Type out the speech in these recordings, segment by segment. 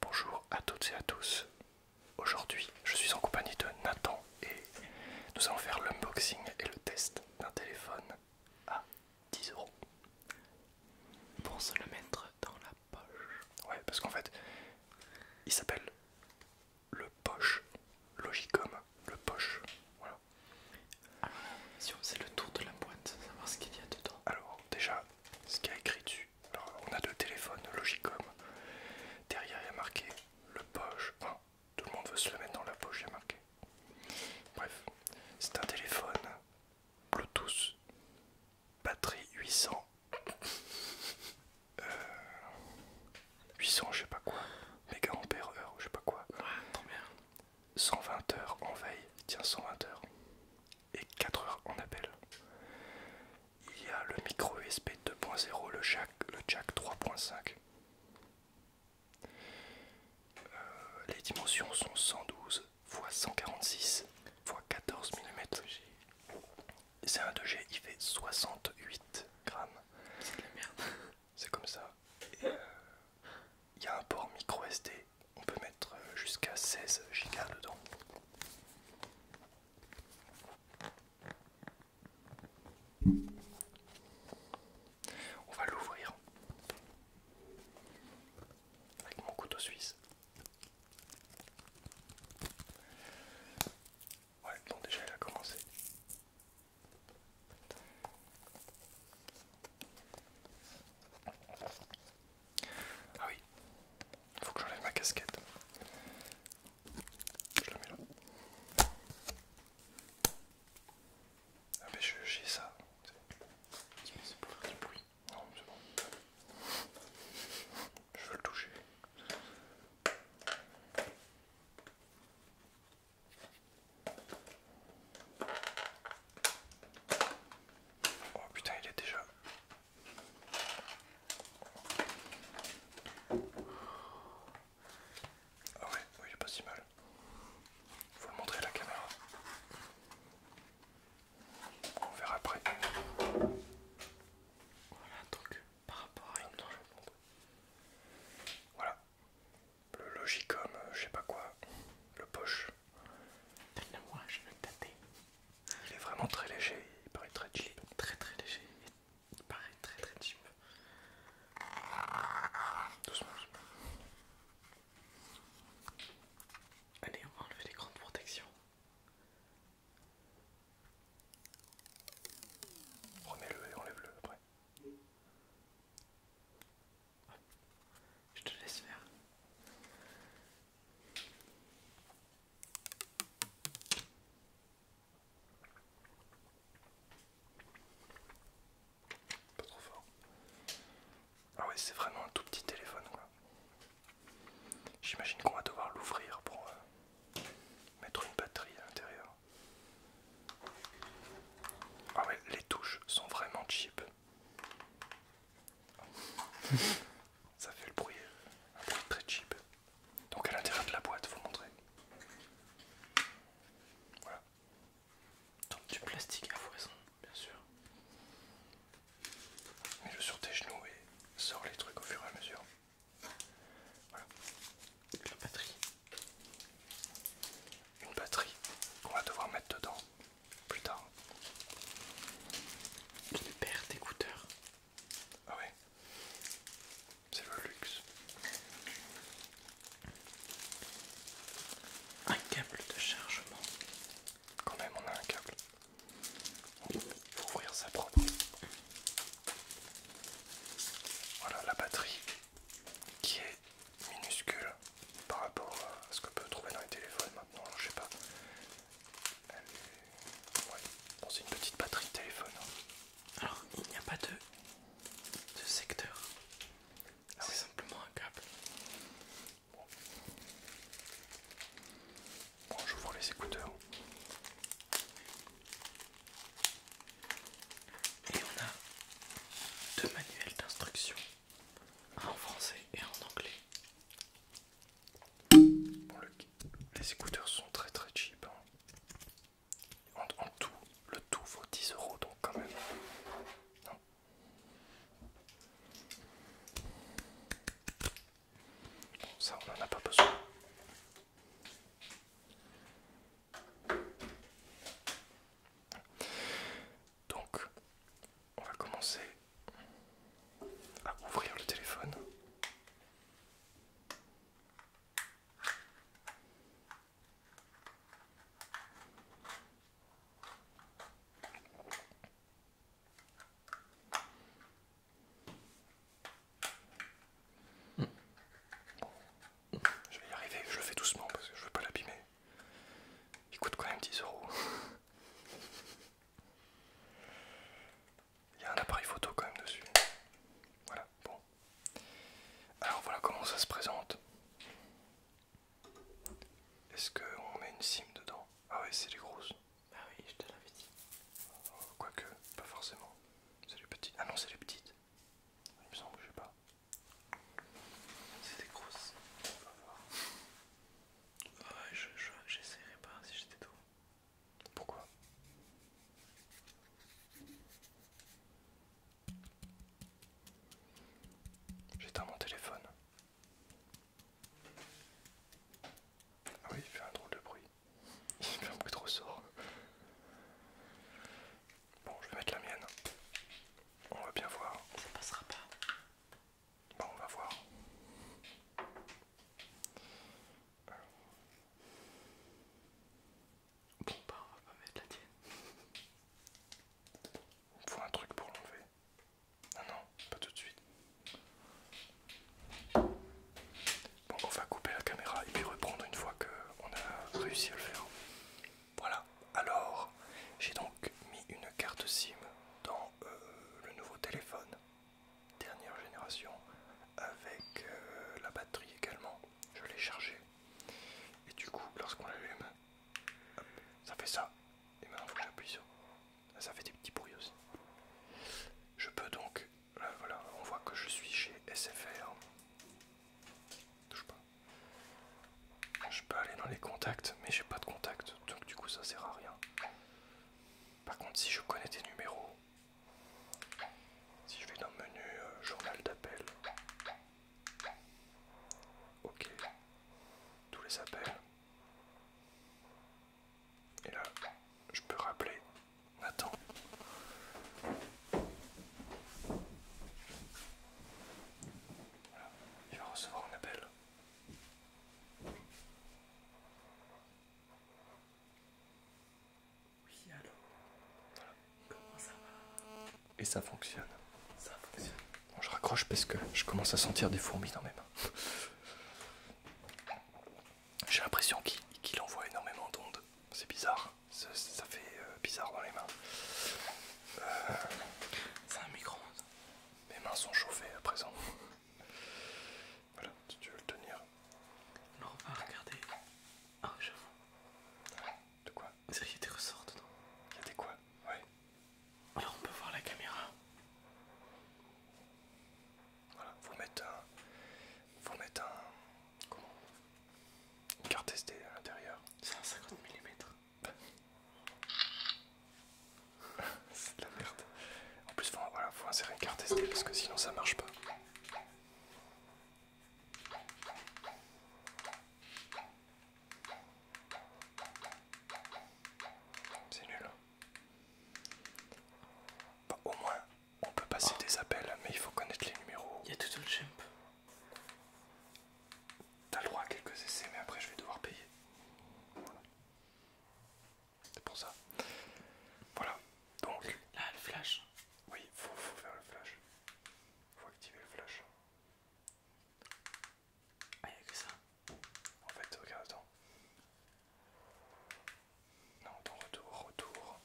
Bonjour à toutes et à tous. Aujourd'hui, je suis en compagnie de Nathan et nous allons faire l'unboxing et le test d'un téléphone à 10 euros. Pour se le mettre dans la poche. Ouais, parce qu'en fait, il s'appelle le Poche Logicom, le Poche. Voilà. Ah, si on faisait le tour de la boîte, savoir ce qu'il y a dedans. Alors, déjà, ce qu'il y a écrit dessus. Alors, on a deux téléphones Logicom. Derrière, il y a marqué le poche. tout le monde veut se le mettre dans la poche, il y a marqué. Bref, c'est un téléphone Bluetooth, batterie 800. 800, euh, je sais pas quoi, méga heure, je sais pas quoi. 120 heures en veille, tiens 120 heures et 4 heures en appel. Il y a le micro USB 2.0, le jack, le jack 3.5. Euh, les dimensions sont 112 x 146 x 14 mm. C'est un 2G, il fait 68 grammes. C'est c'est comme ça. Euh, il y a un port micro SD on peut mettre euh, jusqu'à 16 gigas dedans. On va l'ouvrir avec mon couteau suisse. Ouais, bon déjà elle a commencé. Ah oui, il faut que j'enlève ma casquette. Je la mets là. Ah mais j'ai ça. C'est pour faire du bruit. Non, c'est bon. Je veux le toucher. Oh putain, il est déjà ah ouais, oui, il pas si mal. Faut le montrer à la caméra. On verra après. Voilà, donc par rapport à une... Voilà. Le Logicom, euh, je sais pas quoi. Le poche. Donne-le moi, je vais le tâter. Il est vraiment très léger, il paraît très cheap. très très léger, il paraît très très cheap. Doucement, Allez, on va enlever les grandes protections. Remets-le et enlève-le après. Je te laisse faire. Pas trop fort. Ah ouais, c'est vraiment un tout petit téléphone J'imagine qu'on va devoir l'ouvrir pour euh, mettre une batterie à l'intérieur. Ah ouais, les touches sont vraiment cheap. Ça fait le bruit, un bruit très cheap. Donc à l'intérieur de la boîte, vous montrer. Voilà. Donc du plastique à foison, bien sûr. Mets-le sur tes genoux et sors les trucs au fur et à mesure. Voilà. La batterie. Une batterie qu'on va devoir mettre dedans plus tard. Une paire d'écouteurs. Ah ouais. C'est le luxe. Un câble de chargement. Quand même on a un câble. Pour ouvrir sa propre. Voilà la batterie qui est minuscule par rapport à ce que peut trouver dans les téléphones maintenant, je sais pas. Euh, c'est une petite batterie de téléphone. Hein. Alors il n'y a pas de, secteur. Ah c'est simplement un câble. Bon, bon j'ouvre les écouteurs. Et on a deux manuels d'instruction en français et en anglais. les écouteurs sont très très cheap. Hein. En, tout, le tout vaut 10 euros donc quand même. ça on n'en a pas besoin. Donc, on va commencer à ouvrir le téléphone. je vais y arriver, je le fais doucement parce que je veux pas l'abîmer. Il coûte quand même 10 euros. Il y a un appareil photo quand même dessus. Voilà, bon. Alors voilà comment ça se présente. Est-ce qu'on met une SIM dedans Ah oui, c'est les grosses. Bah oui, je te l'avais dit. Euh, quoique, pas forcément. C'est les petites. Ah non, c'est les petites. Il me semble, je sais pas. C'est les grosses. On va voir je j'essaierai pas si j'étais toi. Pourquoi J'éteins mon téléphone. Ah oui, il fait un drôle de bruit. Il fait un bruit trop sort. Bon, je vais mettre la mienne. On va bien voir. Ça passera pas. Bon, on va voir. Bon, bah, on va pas mettre la tienne. Il faut un truc pour l'enlever. Non, ah non, pas tout de suite. Bon, on va couper la caméra et puis reprendre une fois qu'on a réussi à le faire. Voilà, alors j'ai donc mis une carte SIM dans euh, le nouveau téléphone, dernière génération, avec euh, la batterie également. Je l'ai chargé. Et du coup, lorsqu'on l'allume, ça fait ça. Et maintenant, il faut que j'appuie sur. Ah, ça fait des petits bruits aussi. Je peux donc. Euh, voilà, on voit que je suis chez SFR. Touche pas. Je peux aller dans les contacts, mais j'ai pas de contact, donc du coup ça sert à rien. Par contre, si je connais des numéros, si je vais dans le menu euh, journal d'appel, ok, tous les appels, et là je peux rappeler Nathan. Il va recevoir un appel. Oui, allô Comment ça va Et ça fonctionne. Bon, je raccroche parce que je commence à sentir des fourmis dans mes mains. J'ai l'impression qu'il envoie énormément d'ondes. C'est bizarre. Hein. ça fait euh, bizarre dans les mains. C'est un micro-ondes. Mes mains sont chauffées à présent. voilà, si tu veux le tenir. Non, on va regarder. Ah, j'avoue. De quoi C'est qu'il y a des ressorts dedans. Il y a des quoi Ouais. Alors on peut voir la caméra. Voilà, faut mettre un. Faut mettre un. Comment Une carte SD à l'intérieur. C'est un 50 mm. C'est de la merde. En plus, il faut insérer une carte SD parce que sinon ça marche pas. C'est nul. Bah, au moins, on peut passer des appels, mais il faut connaître les numéros. Il y a tout le champ. T'as le droit à quelques essais, mais après je vais devoir payer. C'est pour ça. Voilà. Donc. Là, le flash. Oui, faut, faut faire le flash. Faut activer le flash. Ah, y'a que ça. En fait, regarde, attends. Non, attends, retour, retour.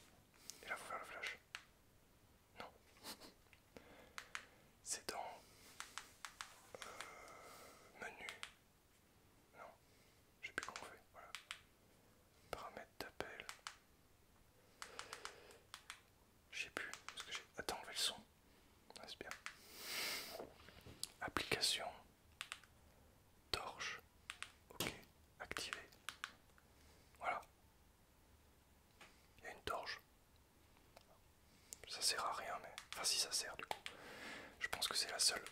Et là, faut faire le flash. Non. C'est dans euh, menu. Non, je sais plus comment on fait. Voilà. Paramètres d'appel. Je sais plus. Parce que j'ai. Attends, enlever le son. Ah, Application. Torche. Ok. Activé. Voilà. Il une torche. Ça sert à rien, mais. Enfin, si ça sert, du coup. Je pense que c'est la seule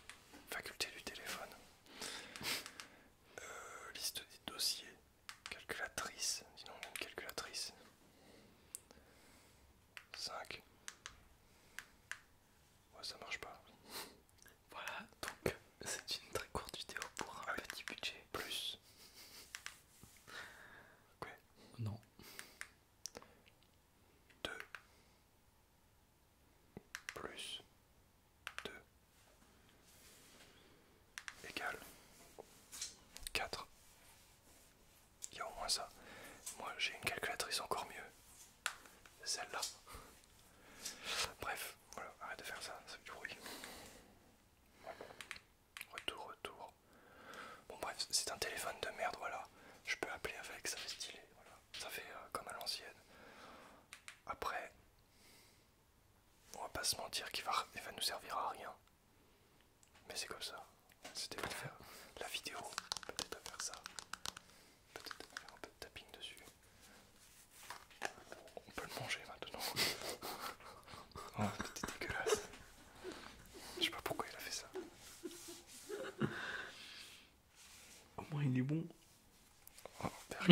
faculté du téléphone. Euh, liste des dossiers. Calculatrice. Sinon, on une calculatrice. 5. Ouais, ça marche pas. Voilà, donc c'est une très courte vidéo pour un ah petit budget. Plus. Non. 2 plus 2 égale 4. Il y a au moins ça. Moi j'ai une calculatrice encore mieux. Celle-là. Bref, voilà, arrête de faire ça, ça fait du bruit. Retour, retour. Bon bref, c'est un téléphone de merde, voilà. Je peux appeler avec, ça fait stylé, voilà. Ça fait euh, comme à l'ancienne. Après, on va pas se mentir qu'il va, va nous servir à rien. Mais c'est comme ça. C'était pour faire la vidéo. Peut-être à faire ça. Peut-être faire un peu de tapping dessus. On peut le manger maintenant. oh, c'était dégueulasse. Je sais pas pourquoi il a fait ça. Au moins il est bon. Oh,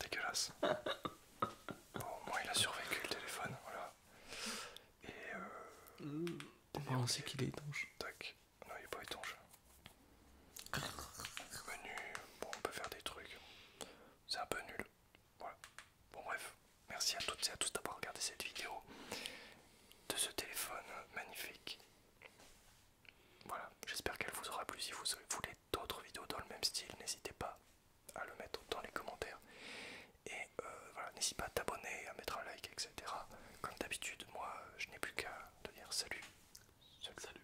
dégueulasse. au moins il a survécu le téléphone, voilà. Et euh, on sait qu'il est étanche. Tac. Non, il est pas étanche bon, on peut faire des trucs. C'est un peu nul. Voilà. Bon, bref, merci à toutes et à tous d'avoir regardé cette vidéo de ce téléphone magnifique. Voilà, j'espère qu'elle vous aura plu. Si vous voulez d'autres vidéos dans le même style, n'hésitez pas à le mettre dans les commentaires. Et euh, voilà, n'hésite pas à t'abonner, à mettre un like, etc. Comme d'habitude, moi, je n'ai plus qu'à te dire Salut. salut.